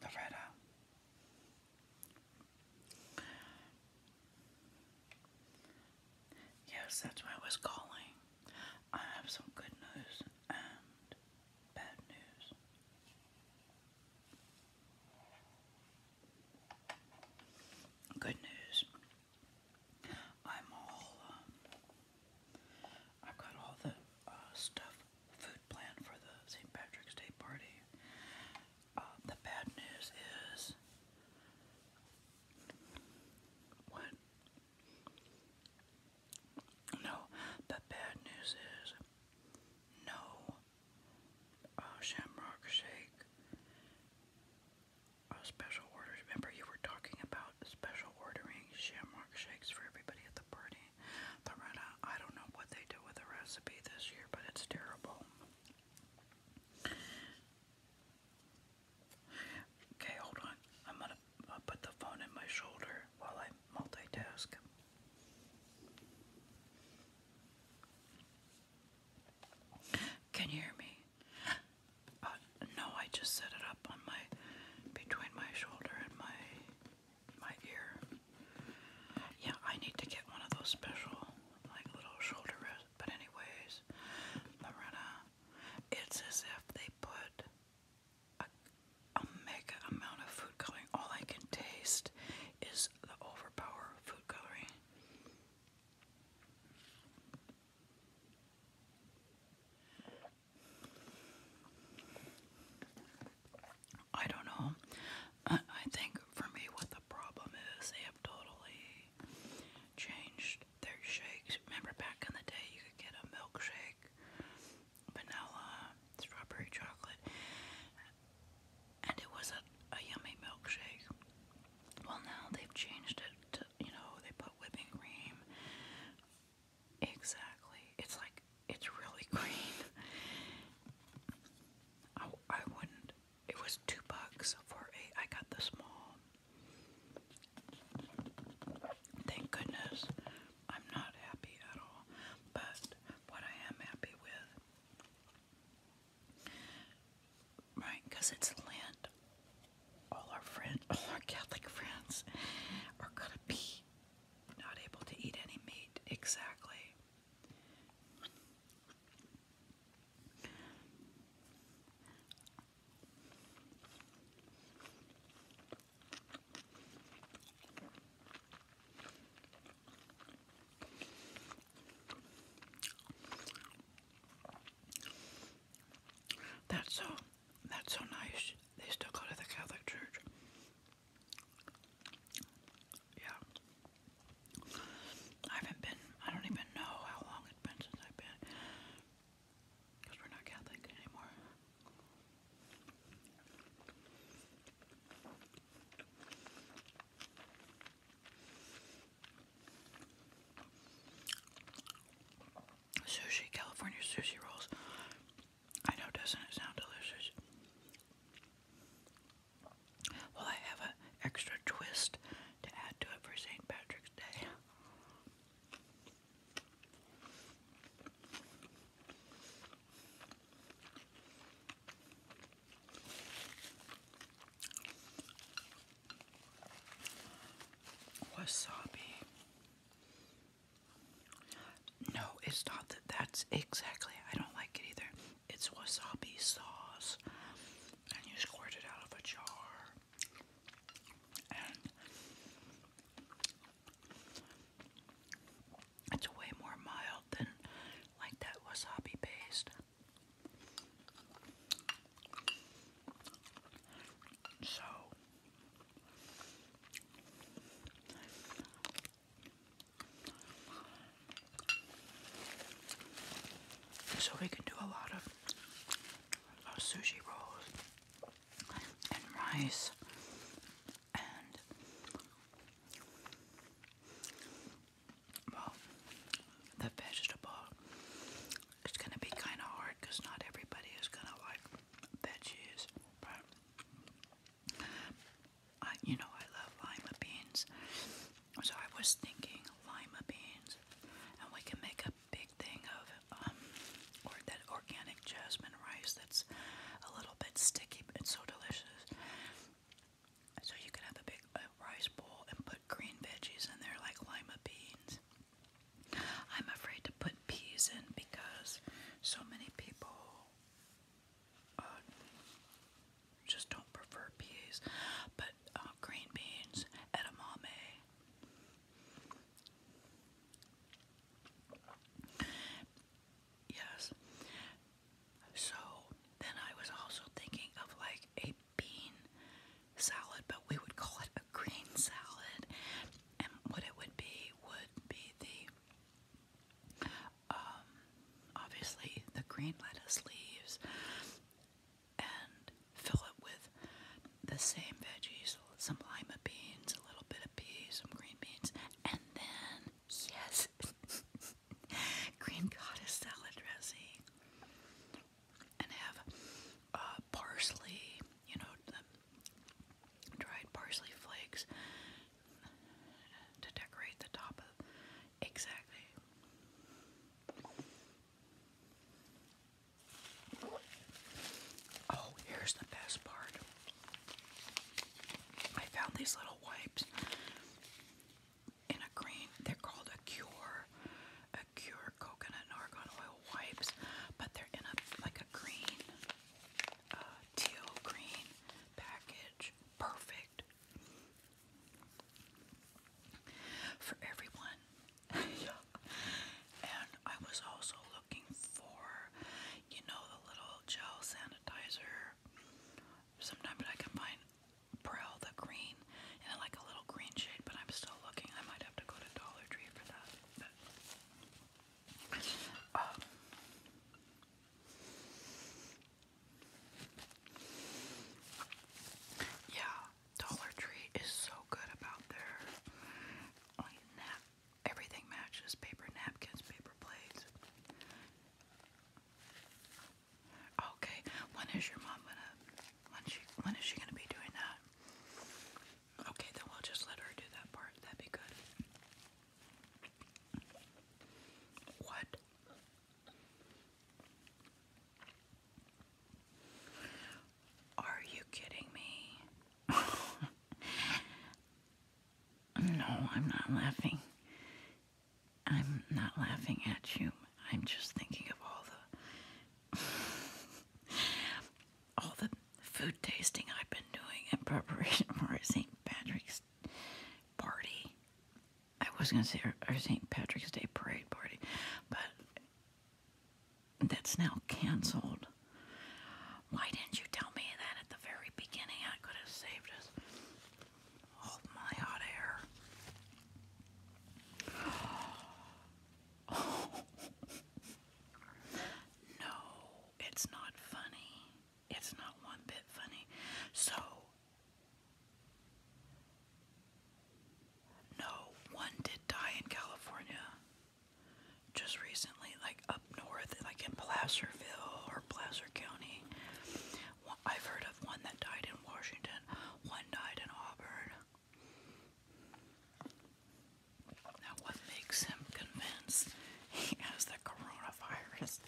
Loretta. Yes, that's why I was calling. I have some good news and bad news. Good news. I'm all um, I've got all the uh, stuff, food planned for the St. Patrick's Day party. Um, the bad news is what? No, the bad news is no uh, shamrock shake Oh, special orders. Remember, you were talking about special ordering shamrock shakes for everybody at the party. Loretta, I don't know what they do with the recipe this year, but it's terrible. Okay, hold on. I'm gonna put the phone in my shoulder while I multitask. Can you hear me? Uh, no, I just set it up on my between my shoulder and my my ear. Yeah, I need to get one of those special like little shoulder rests. But anyways, Lorena, it's as if they put a mega amount of food coloring. All I can taste is the overpower food coloring. I don't know. I, think for me, what the problem is, they have totally changed their shakes. Remember back in the day, you could get a milkshake, vanilla, strawberry chocolate, and it was a, a yummy milkshake. Well, now they've changed it to you know, they put whipping cream. Exactly. It's like, it's really green. I, I wouldn't. It was two bucks for a, I got the small. Thank goodness. I'm not happy at all. But what I am happy with, right, because it's lint all our friends, all our Catholic friends are gonna be not able to eat any meat exactly. That's so that's so nice. They still go to the Catholic Church. Yeah. I haven't been, I don't even know how long it's been since I've been. Because we're not Catholic anymore sushi, California sushi rolls. I know, doesn't it sound delicious? Well, I have an extra twist to add to it for St. Patrick's Day. Wasabi. No, it's not that. That's exactly. I don't like it either. It's wasabi sauce, and you squirt it out of a jar. it's way more mild than like that wasabi paste. So so we can do a lot of, sushi rolls and rice and well the vegetable it's gonna be kind of hard because not everybody is gonna like veggies, but I, you know, I love lima beans. So I was thinking lima beans, and we can make a big thing of um, or that organic jasmine rice that's a little bit sticky but so delicious. So you can have a big rice bowl and put green veggies in there like lima beans. I'm afraid to put peas in because so many people uh, just don't prefer peas. But uh, green beans, edamame, yes. So then I was also thinking of like a bean salad, but we would call it a green salad. And what it would be would be the um, obviously the green lettuce leaves and fill it with the same veggies, some lima beans, a little bit of peas, some green beans, and then yes, green goddess salad dressing and have uh, parsley, you know, dried parsley flakes to decorate the top of. Exactly. Oh, here's the best part. I found these little wipes in a green, they're called a cure, a Cure Coconut and Argan Oil wipes, but they're in a like a green, uh, teal green package. Perfect for everyone. and I was also looking for, you know, the little gel sanitizer. Sometimes I can find Prel the green and I like a little green shade, but I'm still looking. I might have to go to Dollar Tree for that. Um, yeah, Dollar Tree is so good about their like Everything matches: paper napkins, paper plates. Okay, when is your mom gonna when she when is she gonna be doing that? Okay, then we'll just let her do that part. That'd be good. What? Are you kidding me? no, I'm not laughing. I'm not laughing at you. I'm just thinking of all the all the food tasting I've been doing in preparation for St. Patrick's party. I was going to say our, our St. Patrick's Day parade party, but that's now canceled. Why didn't you tell me that at the very beginning? I could have saved us all my hot air no, it's not funny. It's not one bit funny. So, no, one did die in California just recently, like up north, like in Placerville or Placer County. I've heard of one that died in Washington, one died in Auburn. Now, what makes him convinced he has the coronavirus?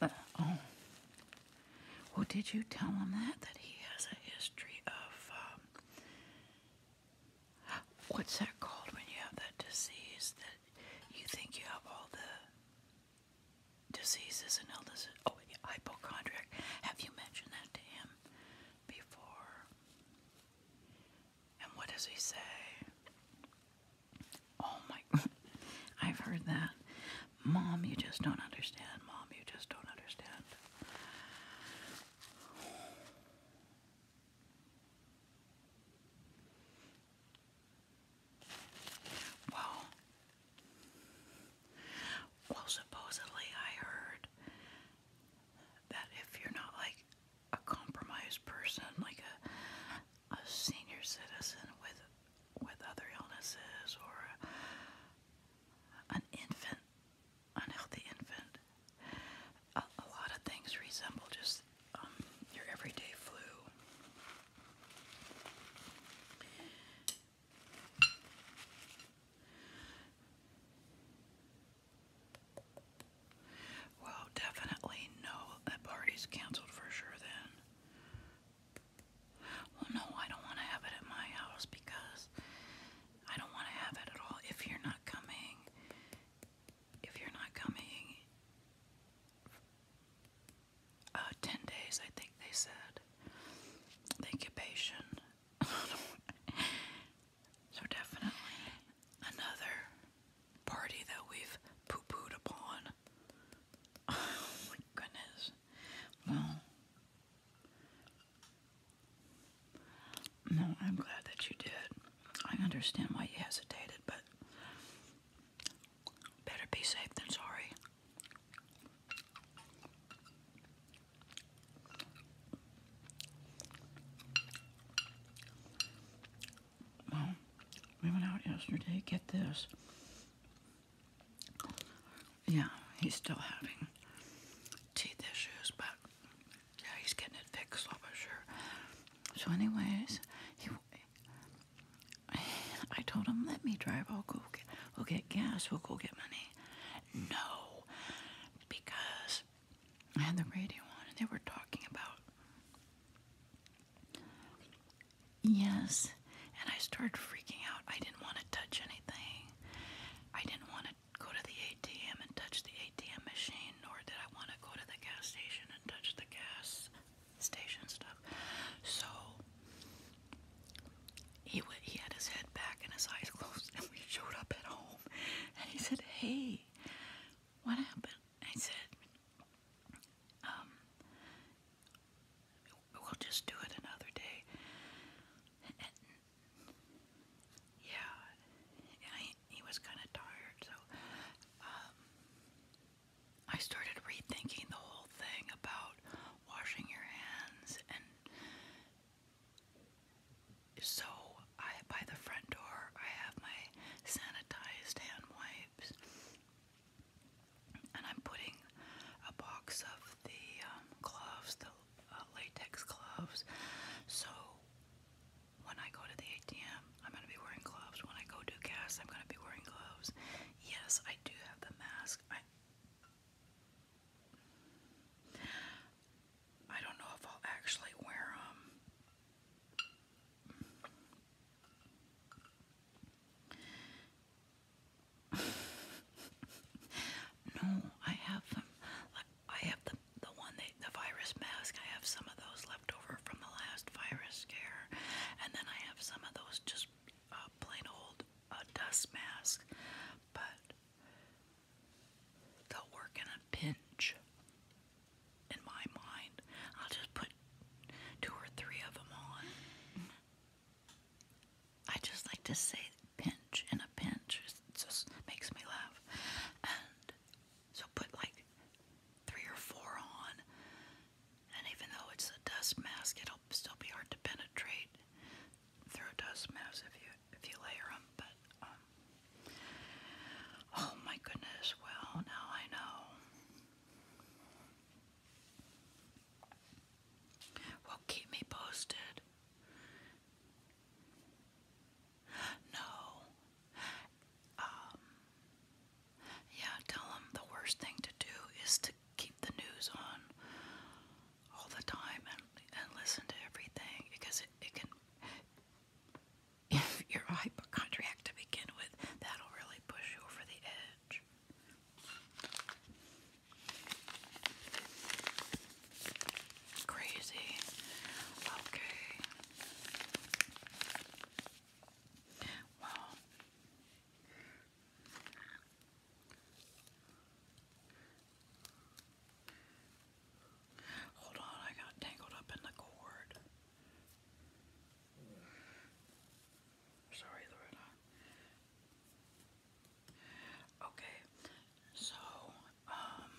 Uh, oh, well, did you tell him that? That he has a history of um, what's that called when you have that disease that you think you have all the diseases and illnesses. Oh, yeah, hypochondriac. Have you mentioned that to him before? And what does he say? Oh my, I've heard that. Mom, you just don't understand. Mom, you just don't understand. Well, well, supposedly I heard that if you're not like a compromised person, like a a senior citizen with with other illnesses or a, an infant, unhealthy infant, a, a lot of things resemble just um, your everyday flu. Well, definitely no, that party's canceled for sure then. Well, no, I don't want to have it at my house because I don't want to have it at all if you're not coming. If you're not coming uh, 10 days, I think they said. The incubation. so, definitely another party that we've poo pooed upon. Oh goodness. Well, no, I'm glad that you did. I understand why you hesitated, but Better be safe than sorry. Well, we went out yesterday. Get this. Yeah, he's still having teeth issues, but yeah, he's getting it fixed, so I'm sure. So, anyways, he I told him, let me drive. I'll go get, we'll get gas. We'll go get money. No, because I had the radio on and they were talking about yes. And I started freaking out. I didn't want to touch anything. I didn't want to go to the ATM and touch the ATM machine, nor did I want to go to the gas station and touch the gas station stuff. So he w he had his head back and his eyes closed, and we showed up at home. And he said, "Hey, what happened?" I said, um, we'll just do it another day." yeah, he was kind of tired, so um, I started rethinking the whole thing about washing your hands and so I by the front door I have my sanitized hand wipes and I'm putting a box of the um, gloves, the uh, latex gloves. So when I go to the ATM, I'm going to be wearing gloves. When I go do gas, I'm going to be wearing gloves. Yes, I do have the mask. I I don't know if I'll actually wear them. Um, no, I have them. I have the the one the virus mask. I have some of those left over from the last virus scare, and then I have some of those just a uh, plain old uh, dust mask, but they'll work in a pinch. In my mind, I'll just put two or three of them on. I just like to say pinch in a pinch. just makes me laugh. And so put like three or four on, and even though it's a dust mask, it'll still be hard to penetrate through a dust mask if you if you layer them. But um, oh my goodness! Well, now I know. Well, keep me posted. No. Um, yeah, tell them the worst thing to do is to keep the news on all the time and, and listen to everything because it, it can. If you're hypochondriac to begin with, that'll really push you over the edge. Crazy. Okay. Well, Hold on, I got tangled up in the cord. Sorry, Loretta. Okay, so, um,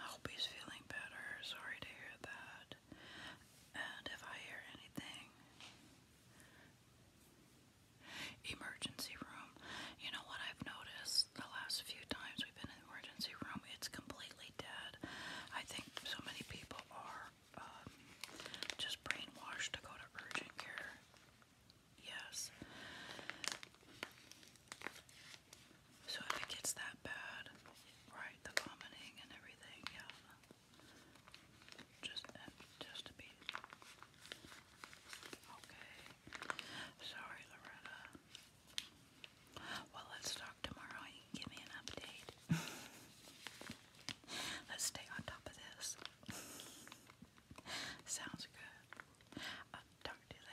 I hope he's feeling better. Sorry to hear that and if I hear anything, emergency room. You know what I've noticed the last few times we've been in emergency room? It's completely dead. I think so many people are um, just brainwashed to go to urgent care. Yes. So if it gets that bad, right, the vomiting and everything, yeah, just, uh, just a bit. Okay. Sorry, Loretta. Well, let's talk tomorrow. You give me an update. let's stay on top of this. Sounds good. talk to you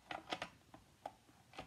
later. Bye.